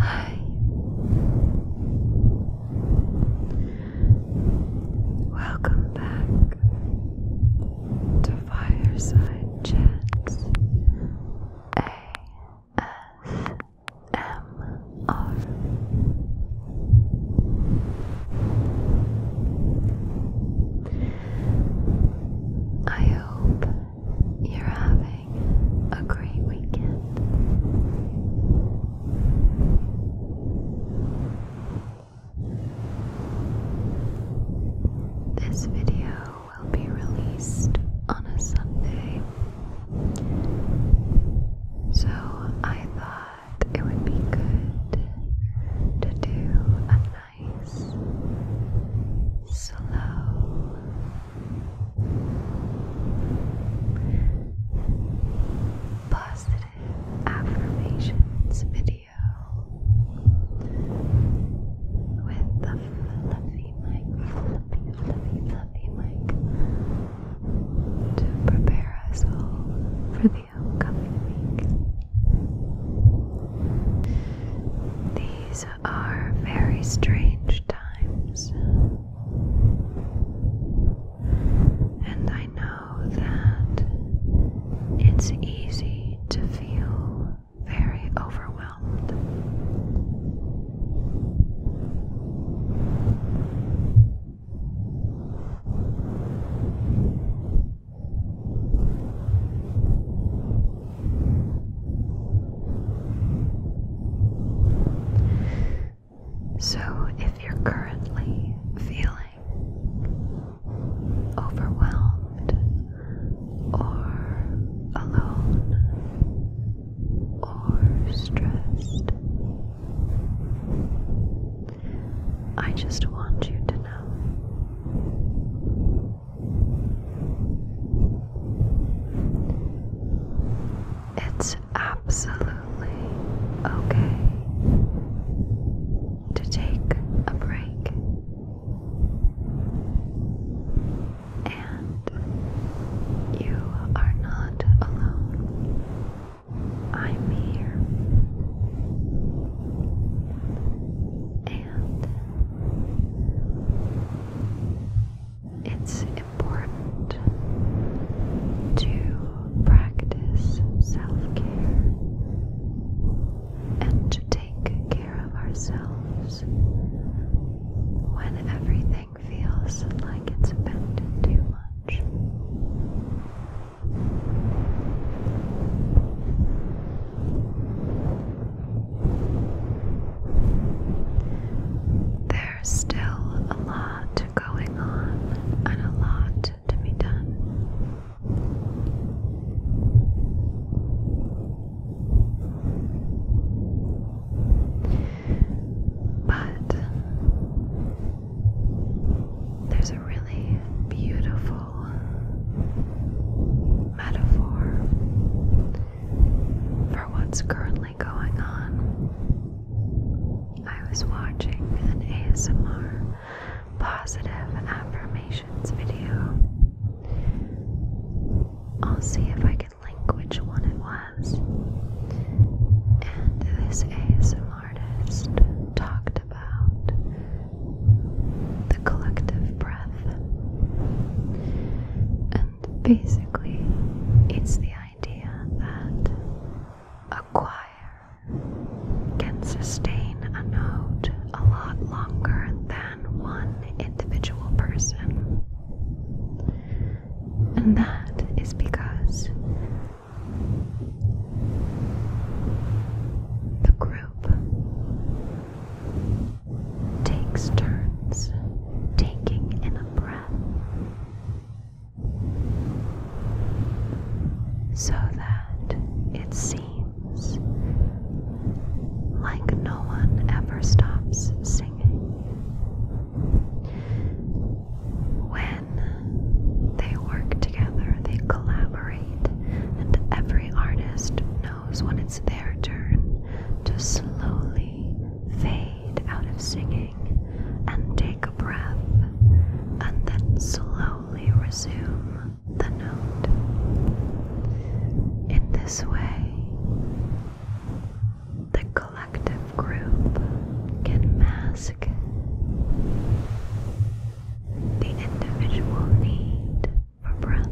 Hi. Welcome back to Fireside Chats. A S ASMR. I hope you're having a great weekend. This video will be released on a Sunday so I thought it would be good to do a nice, slow, positive affirmations video. With the fluffy mic, fluffy, fluffy, fluffy mic to prepare us all for the upcoming week. These are very strange times, and I know that it's easy to feel very overwhelmed. So, if you're currently feeling overwhelmed or alone or stressed, I just want you to know it's absolutely okay to take a break and you are not alone. I'm here. And it's important to practice self care and to take care of ourselves when everything feels like it's bent too much. There's still a lot going on and a lot to be done. But there's a really beautiful metaphor for what's currently going on. I was watching an ASMR positive affirmations video. I'll see if I can link which one it and this ASM artist talked about the collective breath. And basically, it's the idea that a choir can sustain a note a lot longer than one individual person. And that is because the group takes turns taking in a breath so that it seems like no one ever stops singing. When they work together, they collaborate, and every artist knows when it's their turn to slowly fade out of singing and take a breath, and then slowly resume the note. In this way, the collective group can mask the individual need for breath.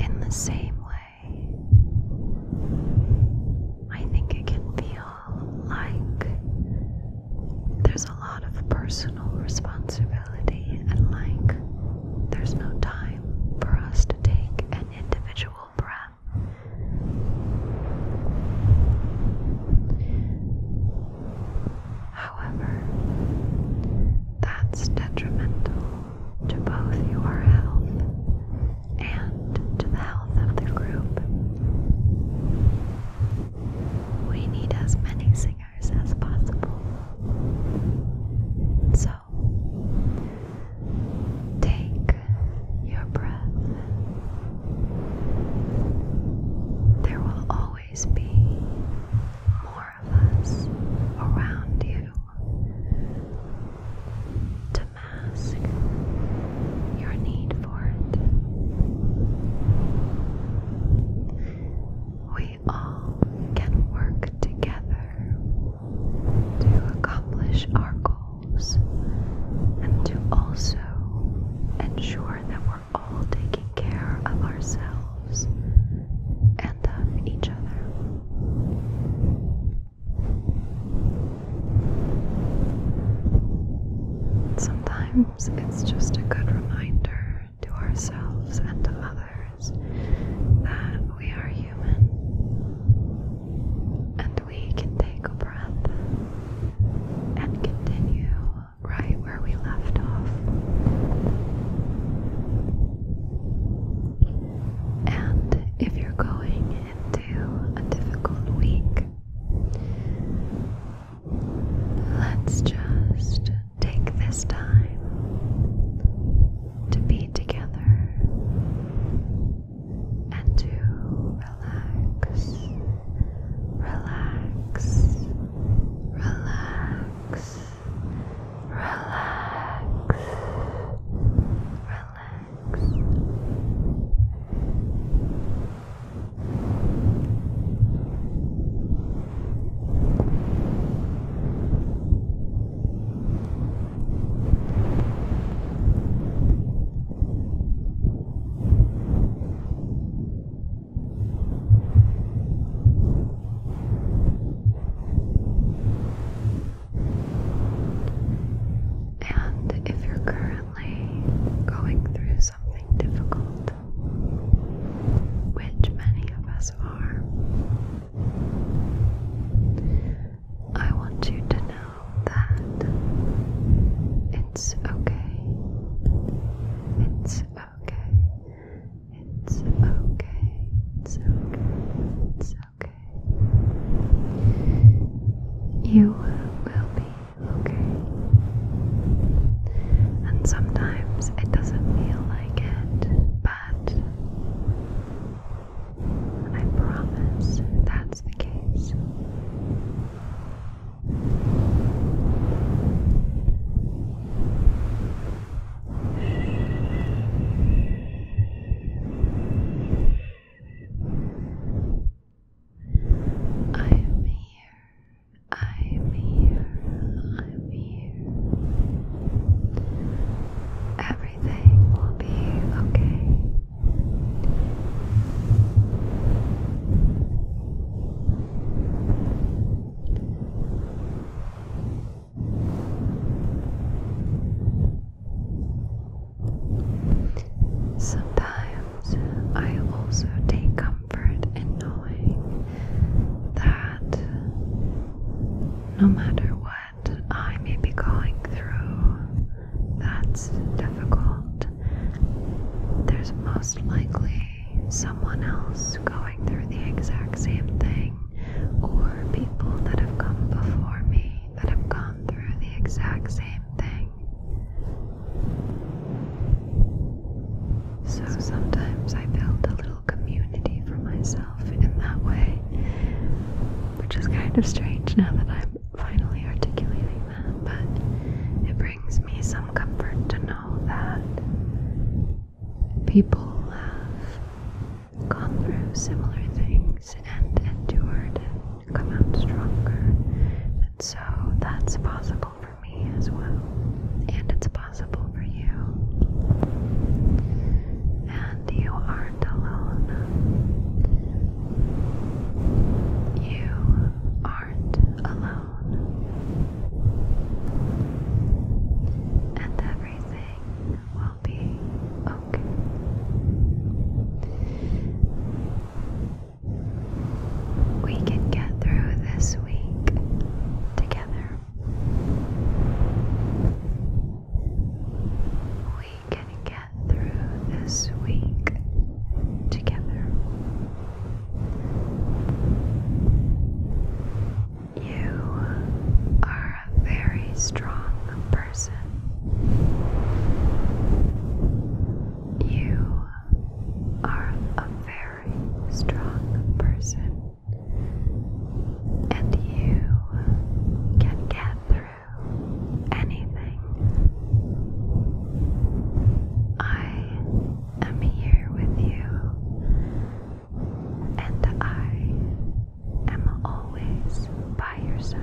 In the same way, I think it can feel like there's a lot of personal responsibility and like there's no time for us to take any individual breath. However, that's detrimental to both your health and to the health of the group. We need as many singers as possible. So take your breath. There will always be more of us around you to mask your need for it. We all can work together to accomplish our goals and to also ensure that we're all taking care of ourselves and of each other. Sometimes it's just a good reminder to ourselves and to others that we are human and we can take a breath and continue right where we left off. And if you're going into a difficult week, Let's just take this time to be together and to relax, relax, relax, relax, relax. And if you're currently going through something difficult, which many of us are, I want you to know that it's okay. It's okay. It's okay. It's okay. It's okay. You will be okay. And sometimes it doesn't feel like it, but I promise that's the case. I am here. I am here. I am here everything will be okay. Sometimes I also take comfort in knowing that no matter what what I may be going through that's difficult, there's most likely someone else going through the exact same thing, or people that have come before me that have gone through the exact same thing. So sometimes I build a little community for myself in that way, which is kind of strange now that I'm finally articulating that, but it brings me some comfort to know that people have gone through similar things and endured and come out stronger. And so that's possible for me as well, and it's possible for you and you aren't alone. You aren't alone, and everything will be okay. We can get through this week together. We can get through this week together. You are a very strong person. You are a very strong person, and you can get through anything. I am here with you, and I am always by your side.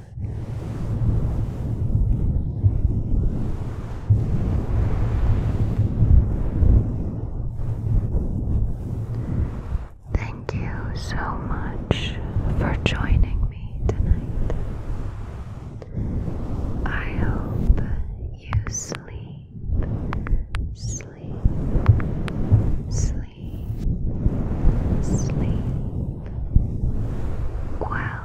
Thank you so much for joining me tonight. I hope you sleep, sleep, sleep, sleep well.